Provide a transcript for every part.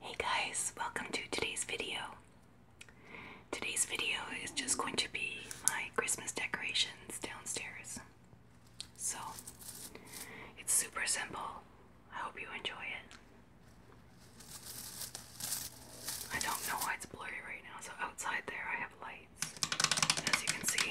Hey guys, welcome to today's video. Today's video is just going to be my Christmas decorations downstairs. So, it's super simple. I hope you enjoy it. I don't know why it's blurry right now, so outside there I have lights, as you can see.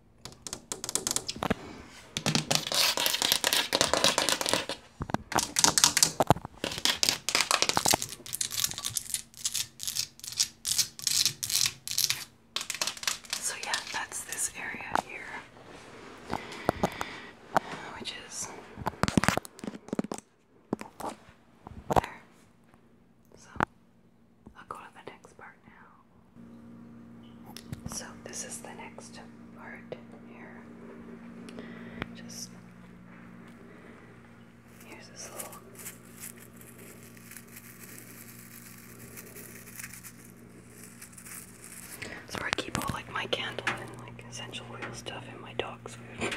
So, yeah, that's this area here, which is there. So, I'll go to the next part now. So this is the next part here. Just here's this little so I keep all like my candle and like essential oil stuff and my dog's food.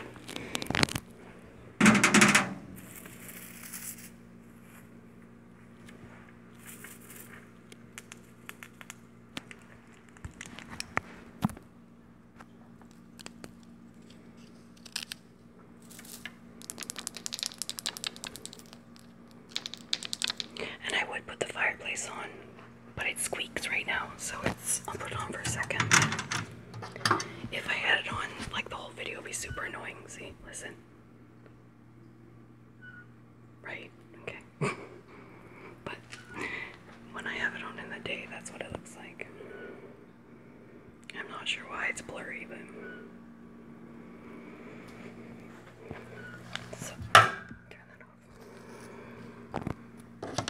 And I would put the fireplace on, but it squeaks right now, so it's I'll put it on for a second. If I had it on, like the whole video would be super annoying. See, listen. Right? Okay. but when I have it on in the day, that's what it looks like. I'm not sure why it's blurry, but. turn that off.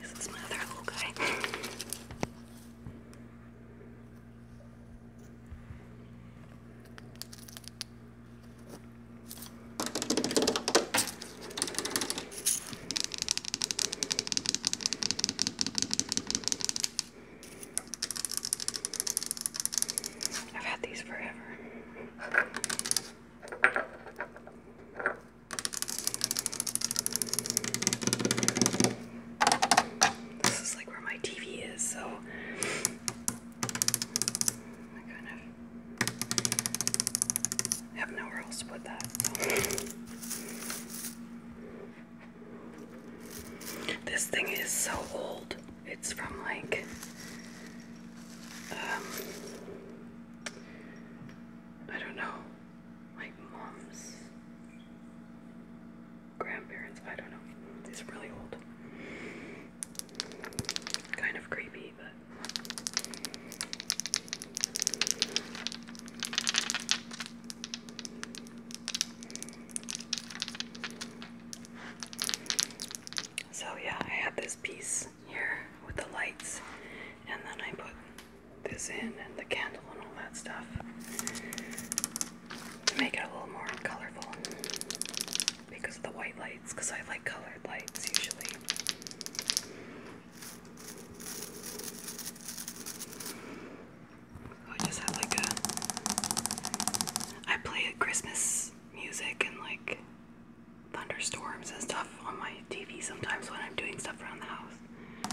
This is my other little guy. I've had these forever. This is like where my TV is, so I kind of have nowhere else to put that. This thing is so old. It's from like um, I don't know, my mom's grandparents. I don't know. It's really old. Kind of creepy, but. So, yeah, I had this piece here with the lights, and then I put this in and the candle and all that stuff to make it a little more colorful because of the white lights, because I like colored lights usually. I just have like a. I play Christmas music and like thunderstorms and stuff on my TV sometimes when I'm doing stuff around the house. And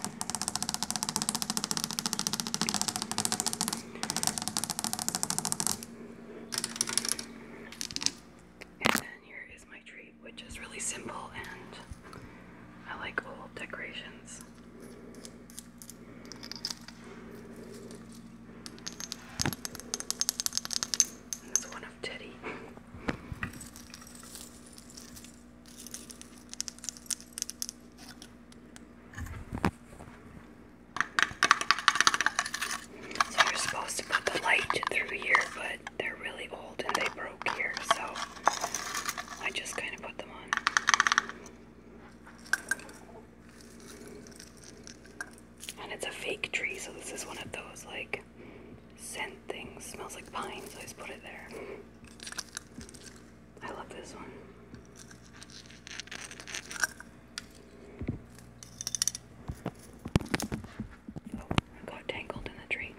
then here is my treat, which is really simple and I like old decorations. this one of Teddy. So you're supposed to put the light through here, but they're really old and they broke here, so I just kind of put them on. And it's a fake tree, so this is one of those like scent thing. Smells like pine, so I just put it there. I love this one. Oh, I got tangled in the tree.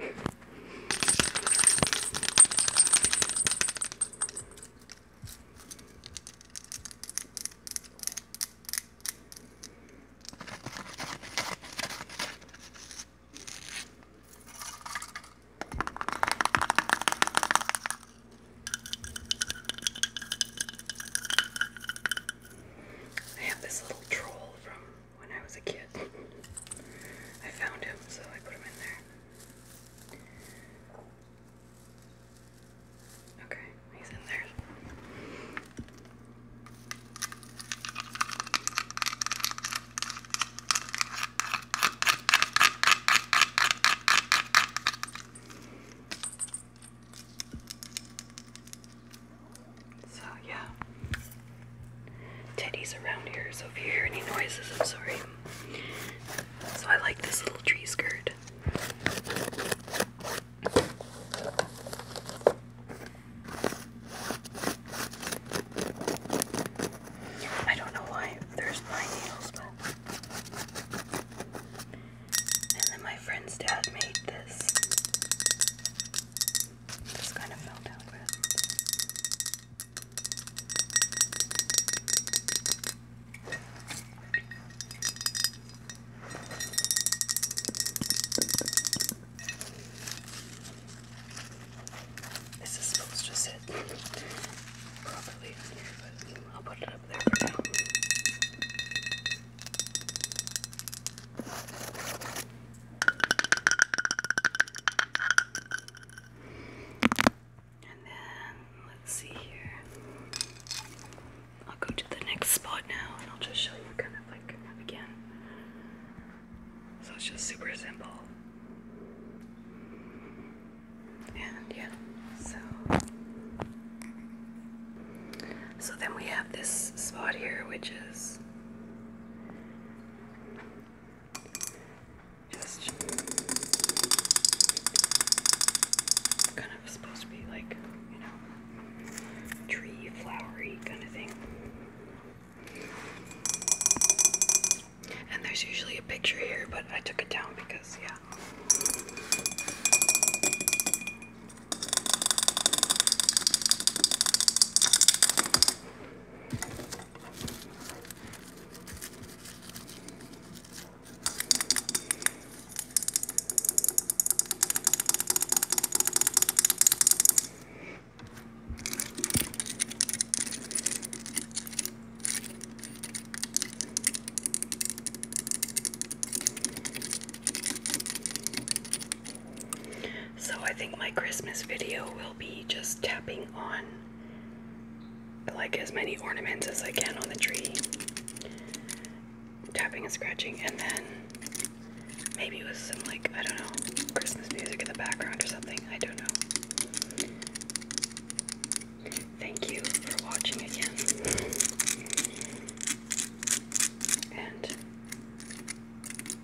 I have this little troll from when I was a kid. I found him, so I put him in there. Okay, he's in there. So, yeah. Teddy's around here, so if you hear any noises, I'm sorry. So, I like this little tree skirt. I don't know why there's my needles, but. then my friend's dad made this. This kind of fell down this is supposed to sit properly in here, but I'll put it up there for now. And then let's see here. I'll go to the next spot now and I'll just show you kind of like again. So it's just super simple. And yeah, so so then we have this spot here which is just kind of supposed to be like, you know, tree flowery kind of thing. And there's usually a picture here, but I took it down because, yeah. So I think my Christmas video will be just tapping on like as many ornaments as I can on the tree. Tapping and scratching, and then maybe with some like I don't know Christmas music in the background or something. I don't know. Thank you for watching again. And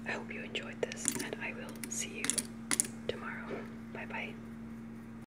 I hope you enjoyed this, and I will see you tomorrow. Bye bye.